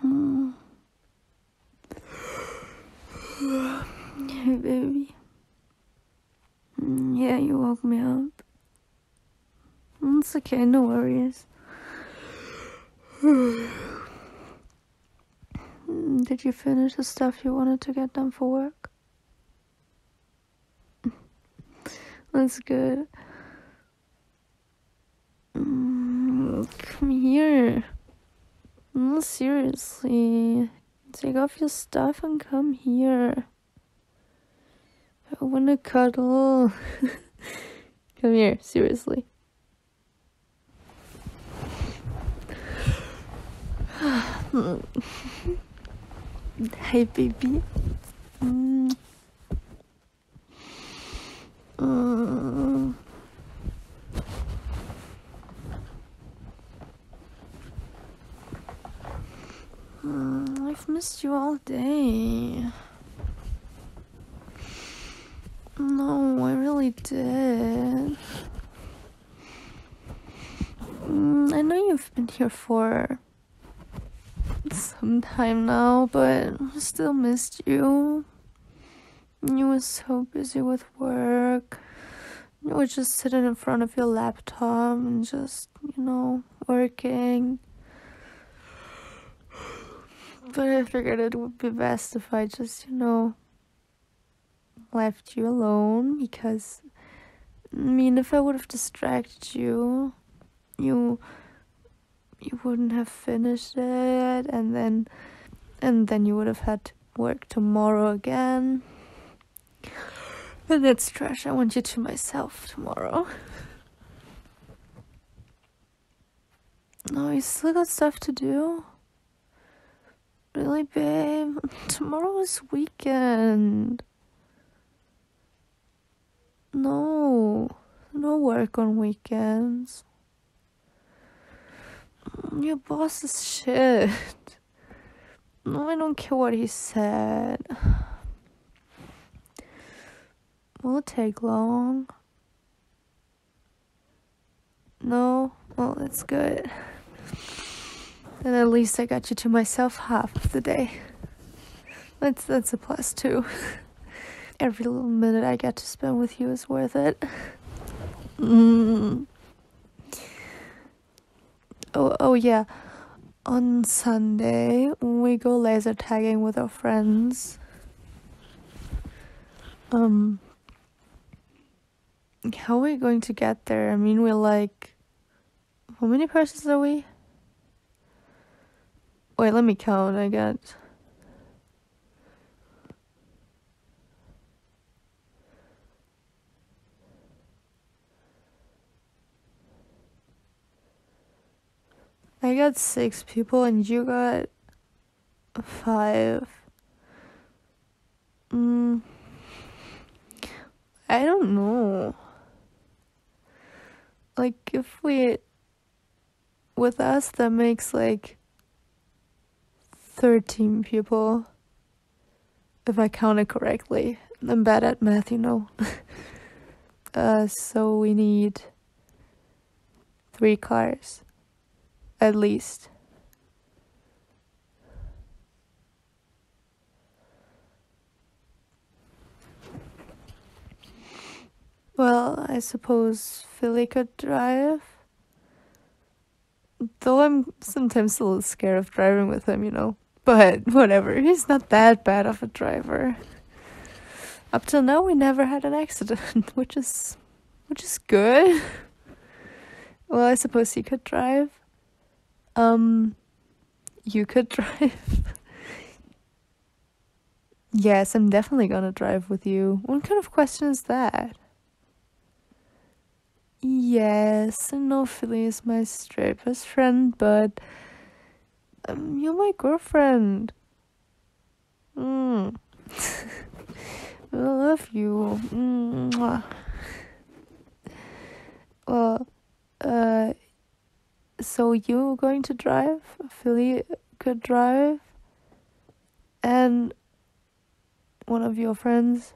Hey, baby. Mm, yeah, you woke me up. It's okay, no worries. Did you finish the stuff you wanted to get done for work? That's good. Mm, come here. No, seriously. Take off your stuff and come here. I wanna cuddle. come here, seriously. Hi, baby. Mm. Uh, I've missed you all day. No, I really did. Mm, I know you've been here for some time now, but still missed you. You were so busy with work. You were just sitting in front of your laptop and just, you know, working. But I figured it would be best if I just, you know, left you alone because, I mean, if I would have distracted you, you you wouldn't have finished it and then and then you would have had work tomorrow again. And that's trash. I want you to myself tomorrow. No, you still got stuff to do. Really, babe? Tomorrow is weekend. No, no work on weekends. Your boss is shit. No, I don't care what he said. Will it take long? No? Well, that's good. Then at least I got you to myself half of the day. That's that's a plus too. Every little minute I get to spend with you is worth it. Mm. Oh, oh yeah. On Sunday, we go laser tagging with our friends. Um, how are we going to get there? I mean, we're like, how many persons are we? Wait, let me count, I got. I got six people and you got five. Mm, I don't know. Like, if we with us that makes like 13 people if i count it correctly i'm bad at math you know uh, so we need three cars at least well, I suppose Philly could drive. Though I'm sometimes a little scared of driving with him, you know. But whatever, he's not that bad of a driver. Up till now, we never had an accident, which is, which is good. Well, I suppose he could drive. Um, you could drive. Yes, I'm definitely gonna drive with you. What kind of question is that? Yes, I know Philly is my straight friend, but um, you're my girlfriend. Mm. I love you. Mwah. Well, uh, so you're going to drive? Philly could drive? and one of your friends?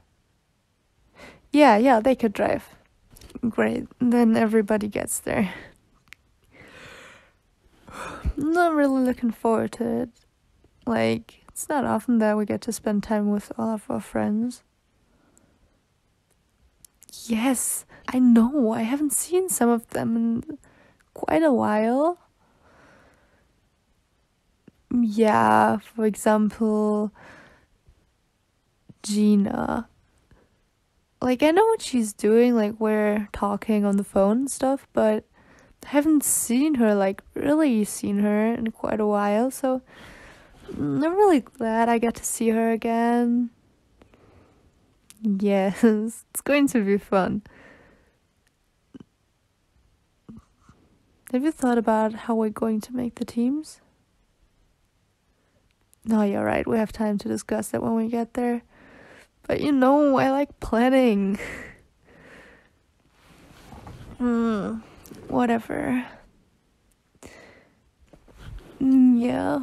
Yeah, yeah, they could drive. Great, then everybody gets there. not really looking forward to it. Like, it's not often that we get to spend time with all of our friends. Yes, I know. I haven't seen some of them, and quite a while. Yeah, for example, Gina. Like, I know what she's doing, like, we're talking on the phone and stuff, but I haven't seen her, like, really seen her in quite a while, so I'm really glad I get to see her again. Yes. It's going to be fun. Have you thought about how we're going to make the teams? No, you're right. We have time to discuss that when we get there. But you know, I like planning. Hmm, mm, whatever. Yeah.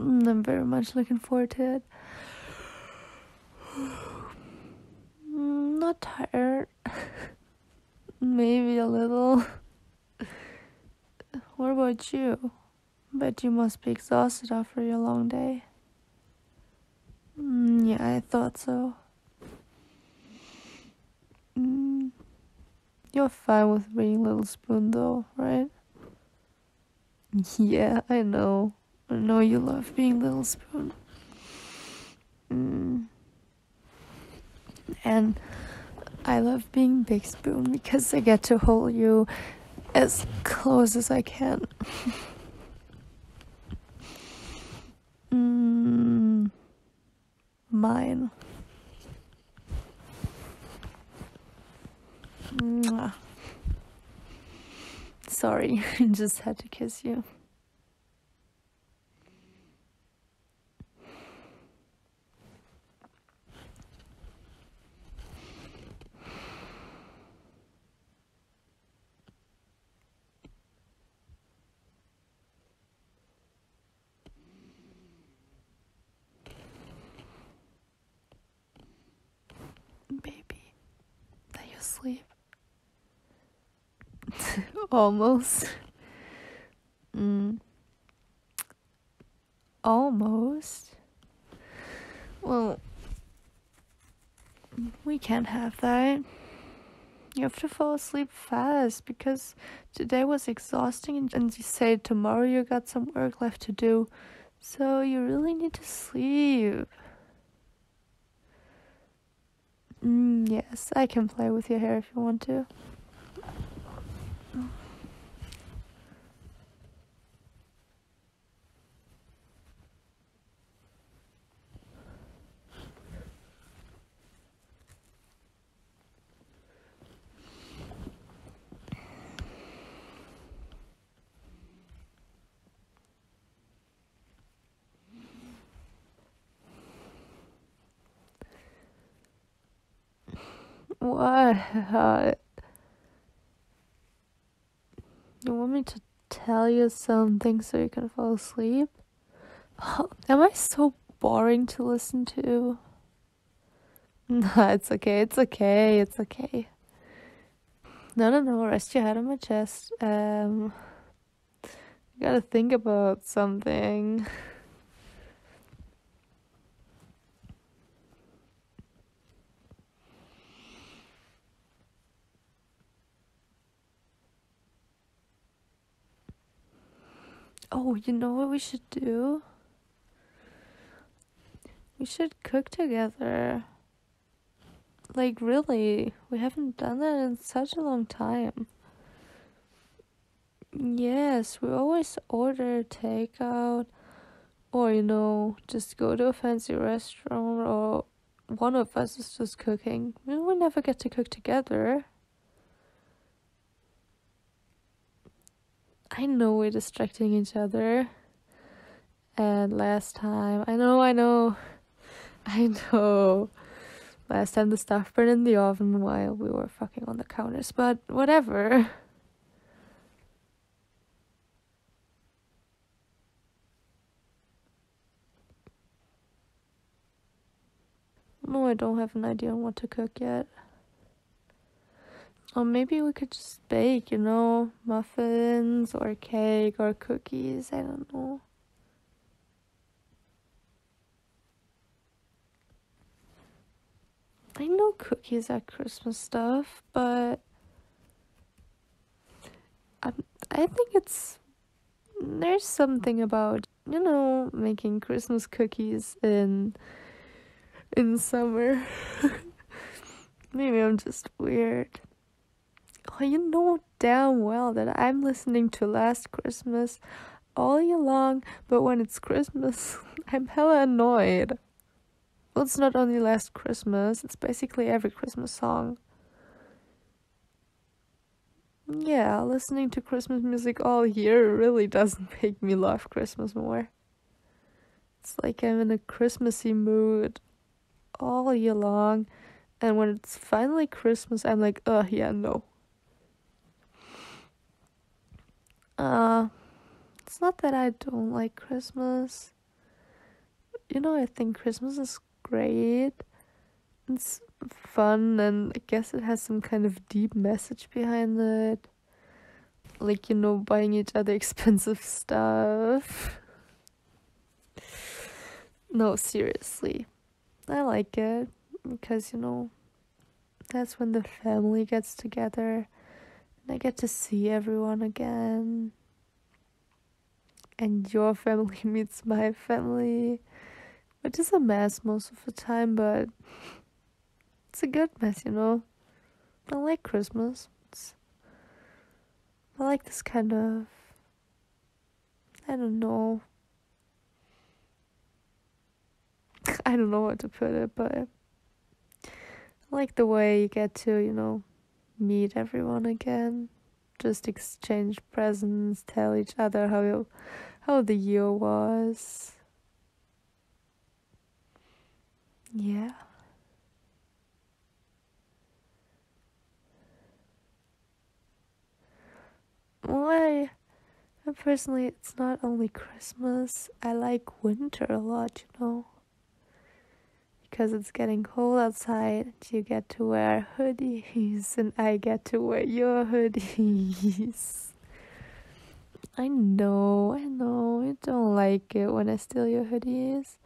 I'm very much looking forward to it. not tired. Maybe a little. what about you? Bet you must be exhausted after your long day. Mm, yeah, I thought so. Mm, you're fine with being Little Spoon, though, right? Yeah, I know. I know you love being Little Spoon. Mm. And I love being Big Spoon because I get to hold you as close as I can. Mm. Mine. Sorry, I just had to kiss you. Baby, that you sleep. Almost. mm. Almost. Well, we can't have that. You have to fall asleep fast because today was exhausting, and you say tomorrow you got some work left to do. So you really need to sleep. Mm, yes, I can play with your hair if you want to. What? You want me to tell you something so you can fall asleep? am I so boring to listen to? No, it's okay, it's okay, it's okay. No, no, no. Rest your head on my chest. Um, I gotta think about something. Oh, you know what we should do? We should cook together. Like, really, we haven't done that in such a long time. Yes, we always order takeout or, you know, just go to a fancy restaurant or one of us is just cooking. We never get to cook together. I know we're distracting each other. And last time, I know, I know, I know. Last time the stuff burned in the oven while we were fucking on the counters, but whatever. No, I don't have an idea on what to cook yet. Or maybe we could just bake, you know, muffins or cake or cookies, I don't know. I know cookies are Christmas stuff, but I, I think it's there's something about you know making Christmas cookies in in summer. Maybe I'm just weird. Oh, you know damn well that I'm listening to Last Christmas all year long, but when it's Christmas, I'm hella annoyed. Well, it's not only Last Christmas, it's basically every Christmas song. Yeah, listening to Christmas music all year really doesn't make me love Christmas more. It's like I'm in a Christmassy mood all year long. And when it's finally Christmas, I'm like, oh, yeah, no. Uh, it's not that I don't like Christmas. You know, I think Christmas is great. It's fun, and I guess it has some kind of deep message behind it. Like, you know, buying each other expensive stuff. No, seriously. I like it because, you know, that's when the family gets together and I get to see everyone again. And your family meets my family, which is a mess most of the time, but it's a good mess, you know. I like Christmas. I like this kind of, I don't know, I don't know what to put it, but I like the way you get to, you know, meet everyone again, just exchange presents, tell each other how you, how the year was. Yeah. Why? personally, it's not only Christmas. I like winter a lot, you know. Because it's getting cold outside, you get to wear hoodies, and I get to wear your hoodies. I know, I know, you don't like it when I steal your hoodies.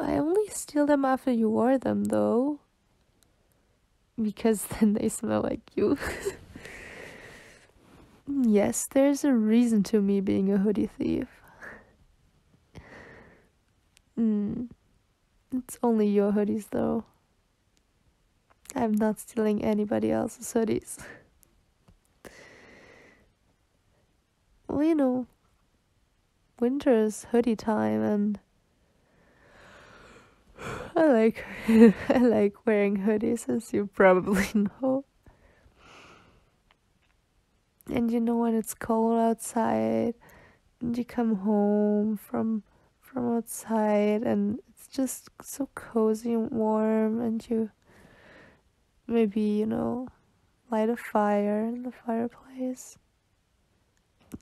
I only steal them after you wear them though. Because then they smell like you. yes, there's a reason to me being a hoodie thief. Hmm. It's only your hoodies though. I'm not stealing anybody else's hoodies well, you know, winter's hoodie time and I like I like wearing hoodies as you probably know. And you know when it's cold outside and you come home from from outside and it's just so cozy and warm and you maybe, you know, light a fire in the fireplace.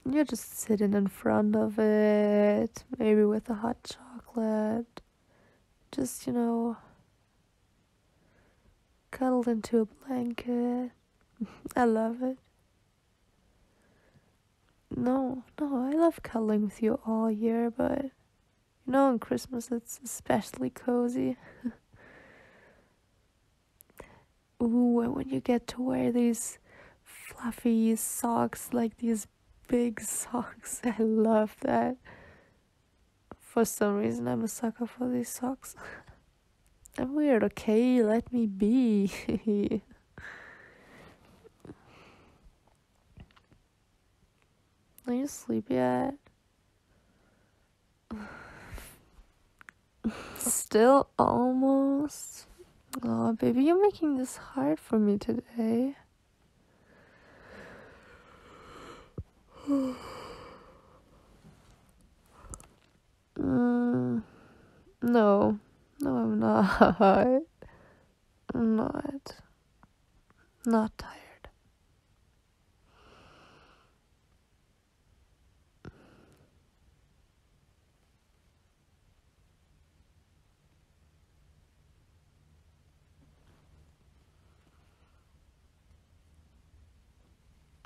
You're just sitting in front of it, maybe with a hot chocolate. Just, you know, cuddled into a blanket. I love it. No, no, I love cuddling with you all year, but you know, on Christmas it's especially cozy. Ooh, and when you get to wear these fluffy socks, like these big socks, I love that. For some reason, I'm a sucker for these socks. I'm weird, okay? Let me be. Are you asleep yet? Still almost. Oh, baby, you're making this hard for me today. Mm, no, no, I'm not. I'm not. Not tired.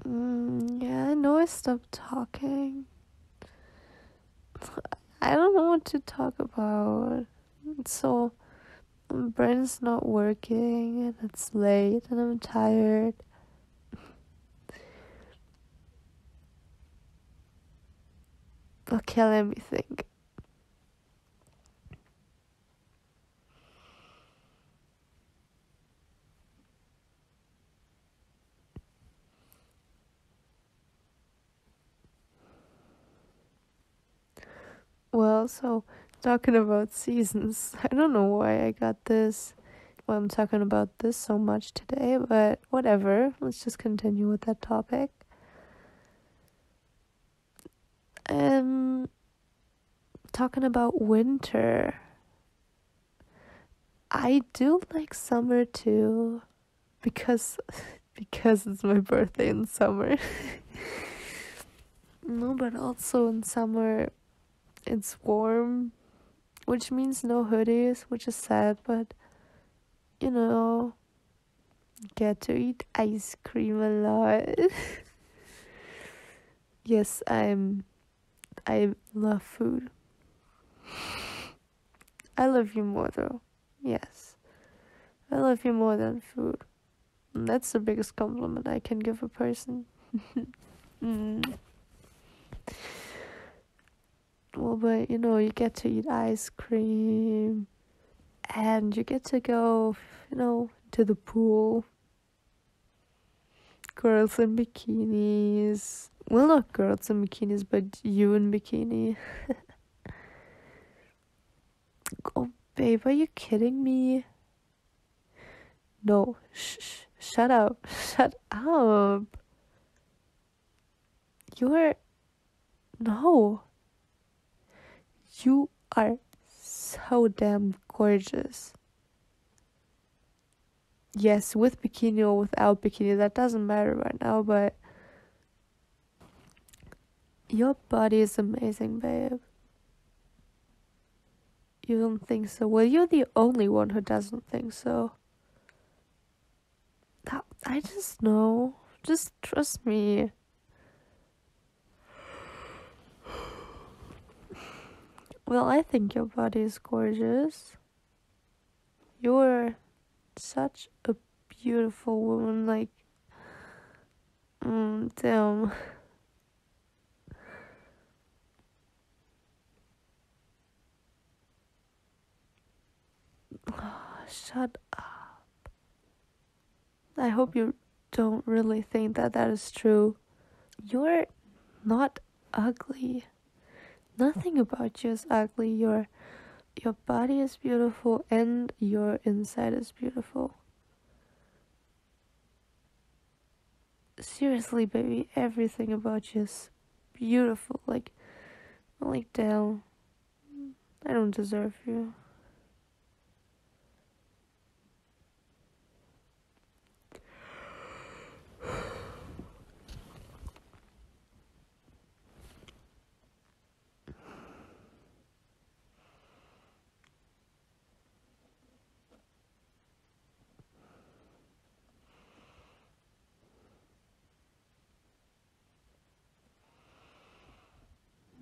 Mm, yeah, I know I stopped talking. I don't know what to talk about. So, my brain's not working and it's late and I'm tired. Okay, let me think. Well, so talking about seasons, I don't know why I got this. Well, I'm talking about this so much today, but whatever. Let's just continue with that topic. Um, talking about winter. I do like summer too, because because it's my birthday in summer. no, but also in summer, it's warm, which means no hoodies, which is sad, but you know, get to eat ice cream a lot. yes, I'm I love food. I love you more though. Yes. I love you more than food. that's the biggest compliment I can give a person. mm. Well, but you know, you get to eat ice cream and you get to go, you know, to the pool. Girls in bikinis. Well, not girls in bikinis, but you in bikini. oh, babe, are you kidding me? No, shh! shut up, shut up. You're. No. You are so damn gorgeous. Yes, with bikini or without bikini, that doesn't matter right now, but. Your body is amazing, babe. You don't think so? Well, you're the only one who doesn't think so. That, I just know. Just trust me. Well, I think your body is gorgeous. You're such a beautiful woman, like, mm, damn. shut up. I hope you don't really think that that is true. You're not ugly. Nothing about you is ugly. Your your body is beautiful and your inside is beautiful seriously, baby, everything about you is beautiful. Like, like Dell, I don't deserve you.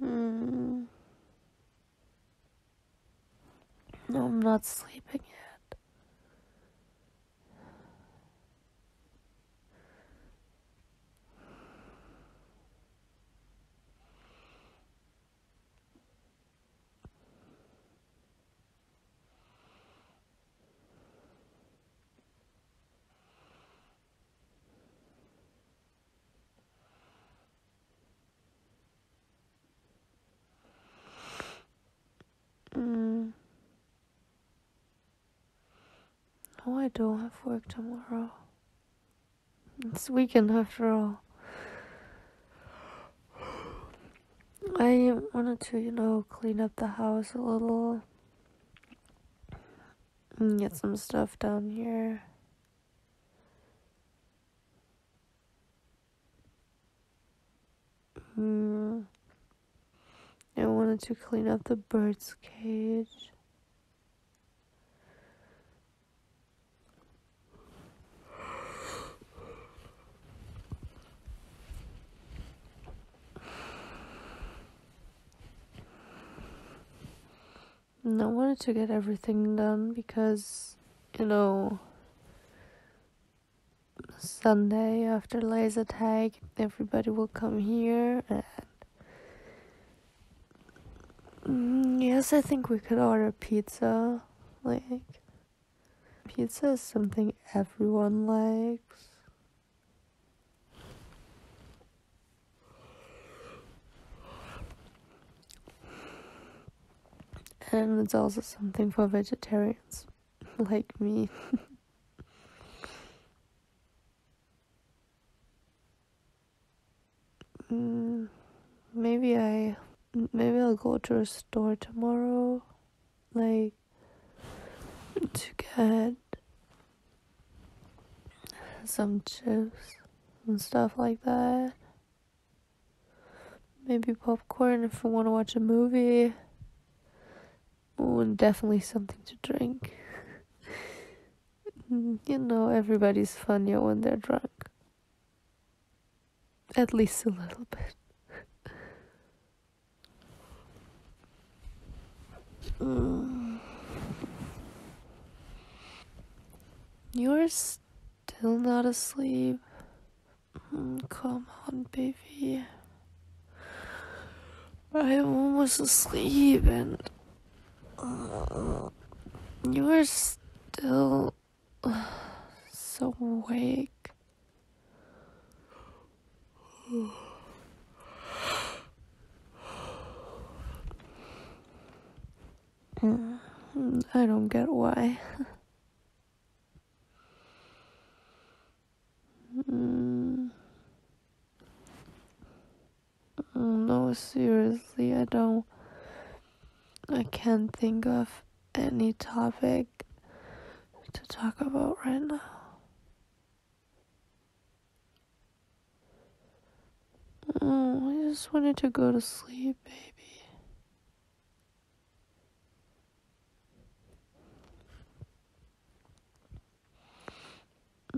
Hmm. I'm not sleeping yet. Mm. No, oh, I don't have work tomorrow. It's weekend after all. I wanted to, you know, clean up the house a little and get some stuff down here. Mm. I wanted to clean up the bird's cage. I wanted to get everything done because, you know, Sunday after laser tag, everybody will come here and. Mm, yes, I think we could order pizza. Like, Pizza is something everyone likes. And it's also something for vegetarians like me. mm, maybe I maybe I'll go to a store tomorrow like to get some chips and stuff like that. Maybe popcorn if we want to watch a movie. and definitely something to drink. you know, everybody's funnier when they're drunk. At least a little bit. mm. You're still not asleep. Mm, come on, baby. I'm almost asleep and uh, you're still so awake. I don't get why. Mm, no, seriously, I don't. I can't think of any topic to talk about right now. Mm, I just wanted to go to sleep, baby.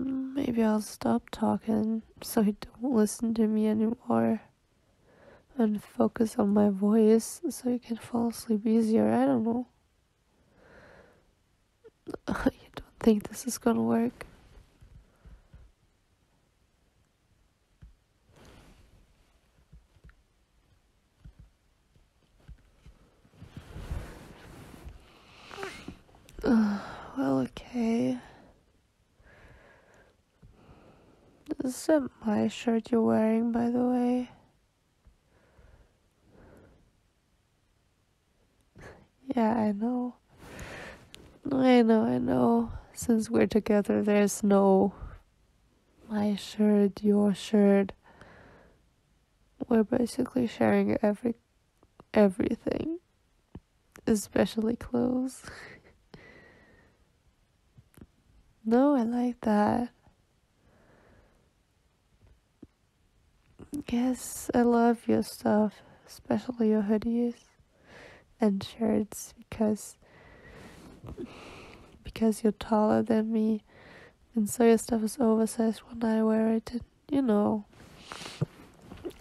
Mm, maybe I'll stop talking so he don't listen to me anymore and focus on my voice so you can fall asleep easier. I don't know. I don't think this is gonna work. well, okay. Is not my shirt you're wearing, by the way? Yeah, I know. I know, I know. Since we're together, there's no my shirt, your shirt. We're basically sharing every everything, especially clothes. no, I like that. Yes, I love your stuff, especially your hoodies and shirts because because you're taller than me and so your stuff is oversized when I wear it and you know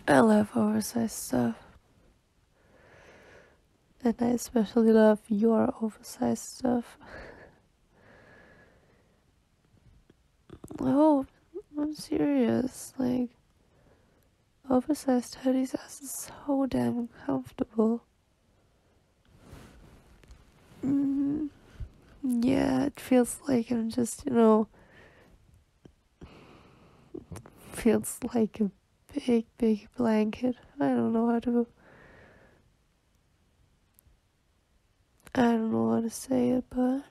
I love oversized stuff. And I especially love your oversized stuff. Hope. I'm serious. Like, oversized hoodies are so damn comfortable. Mm-hmm. yeah, it feels like I'm just, you know, feels like a big, big blanket. I don't know how to I don't know how to say it, but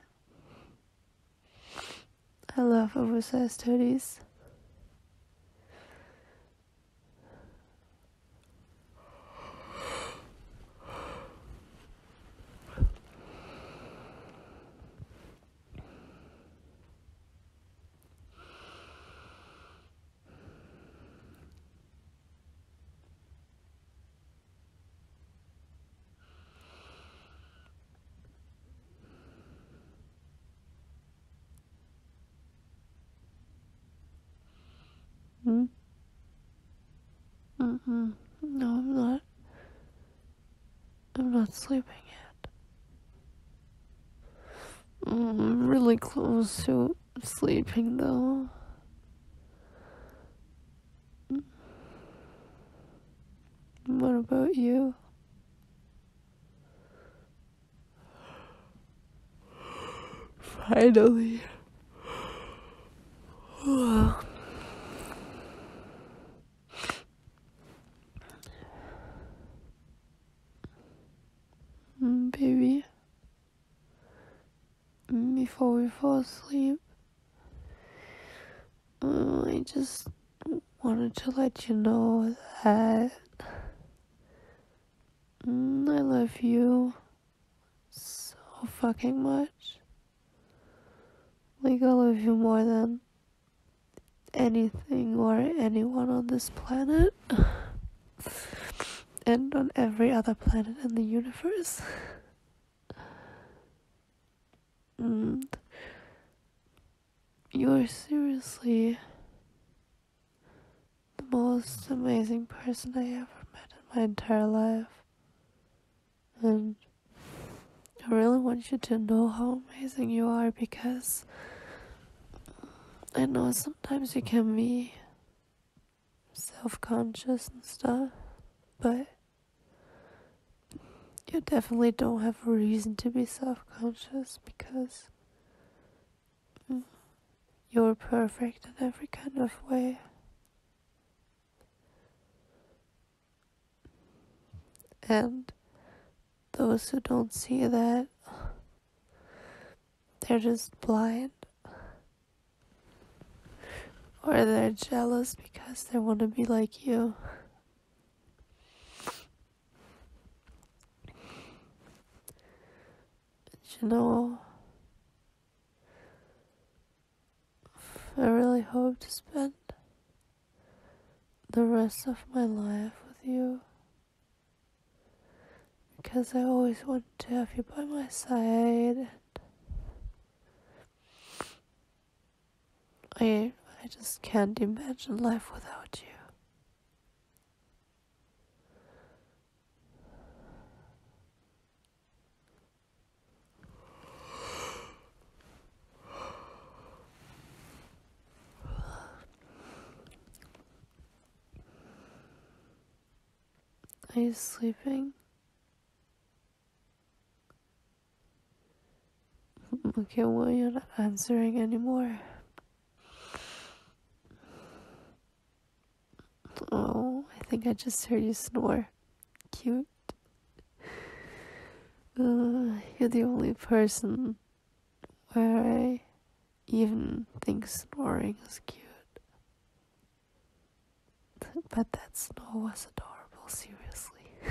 I love oversized hoodies. Hmm? Mm-mm. No, I'm not. I'm not sleeping yet. Mm, I'm really close to sleeping though. Mm. What about you? Finally. Mm, baby before we fall asleep. Mm, I just wanted to let you know that mm, I love you so fucking much. Like, I love you more than anything or anyone on this planet and on every other planet in the universe. you are seriously the most amazing person I ever met in my entire life. And I really want you to know how amazing you are because I know sometimes you can be self conscious and stuff, but you definitely don't have a reason to be self conscious because you're perfect in every kind of way. And those who don't see that they're just blind. Or they're jealous because they want to be like you. you know, I really hope to spend the rest of my life with you because I always wanted to have you by my side. I I just can't imagine life without you. Are you sleeping? Okay, well, you're not answering anymore. Oh, I think I just heard you snore. Cute. Uh, you're the only person where I even think snoring is cute. But that snow was adorable, seriously.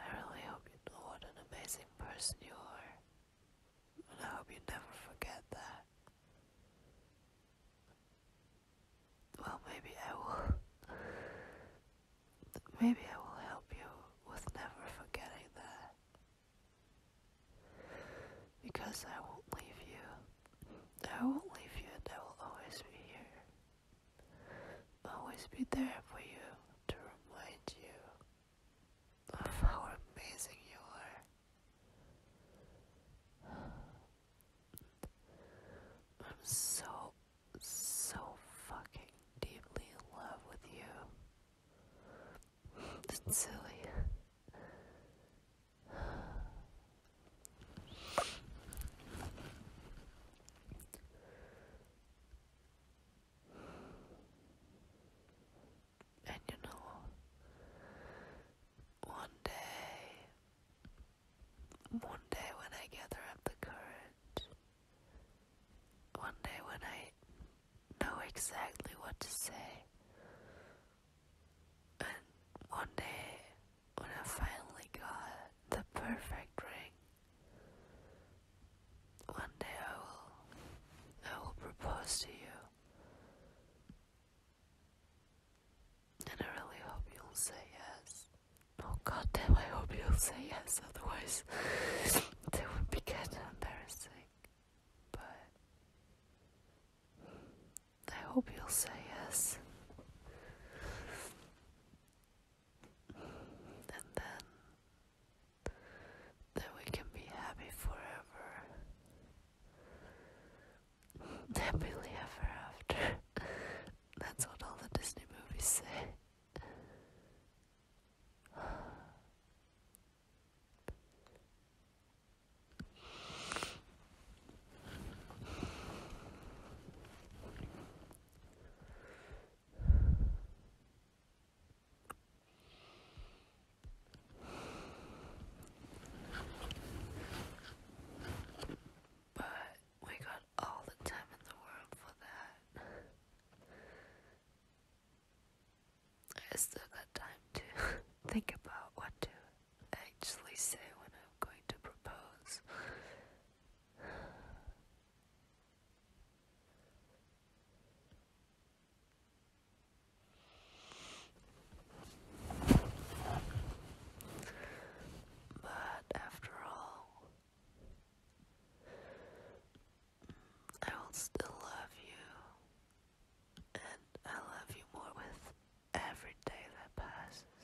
I really hope you know what an amazing person you are. And I hope you never forget that. Well, maybe I will. Maybe I will help you with never forgetting that. Because I won't leave you. I won't leave you I will always be here. Always be there for you to remind you of how amazing you are. I'm so, so fucking deeply in love with you. It's silly. And you know, one day one day when I gather up the courage, one day when I know exactly what to say, and one day when I finally got the perfect ring, one day I will, I will propose to you. And I really hope you'll say yes. Oh god I hope you'll say yes, otherwise it would be kinda embarrassing. But I hope you'll say yes. And then, then we can be happy forever happily ever after. That's what all the Disney movies say. But we got all the time in the world for that. I still got time to think about what to actually say when I'm going to propose. But after all, I will still love you, and I love you more with every day that passes,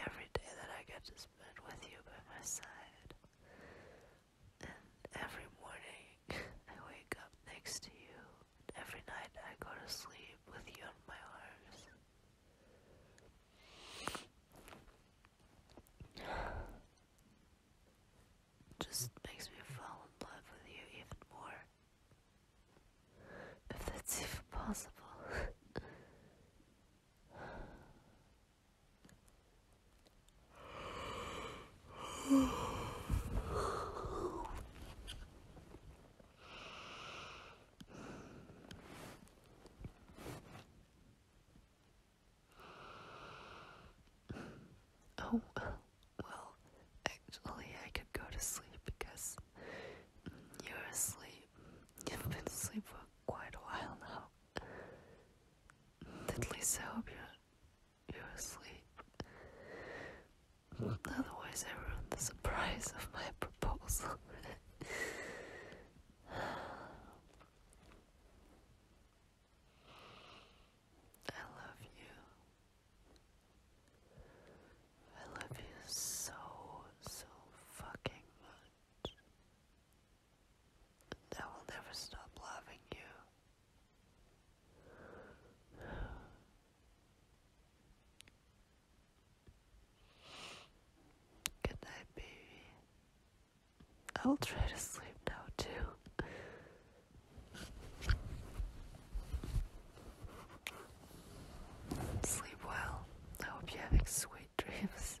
every day that I get to spend with you by my side, and every morning I wake up next to you, and every night I go to sleep with you in my arms. Just makes me fall in love with you even more. If that's even possible. Oh, well, actually, I could go to sleep because you're asleep. You've been asleep for quite a while now. At least I hope you you're asleep. Otherwise, I ruined the surprise of my proposal. I love you. I love you so, so fucking much. I will never stop loving you. Good night, baby. I'll try to sleep now, too. Sleep well. I hope you're sweet dreams.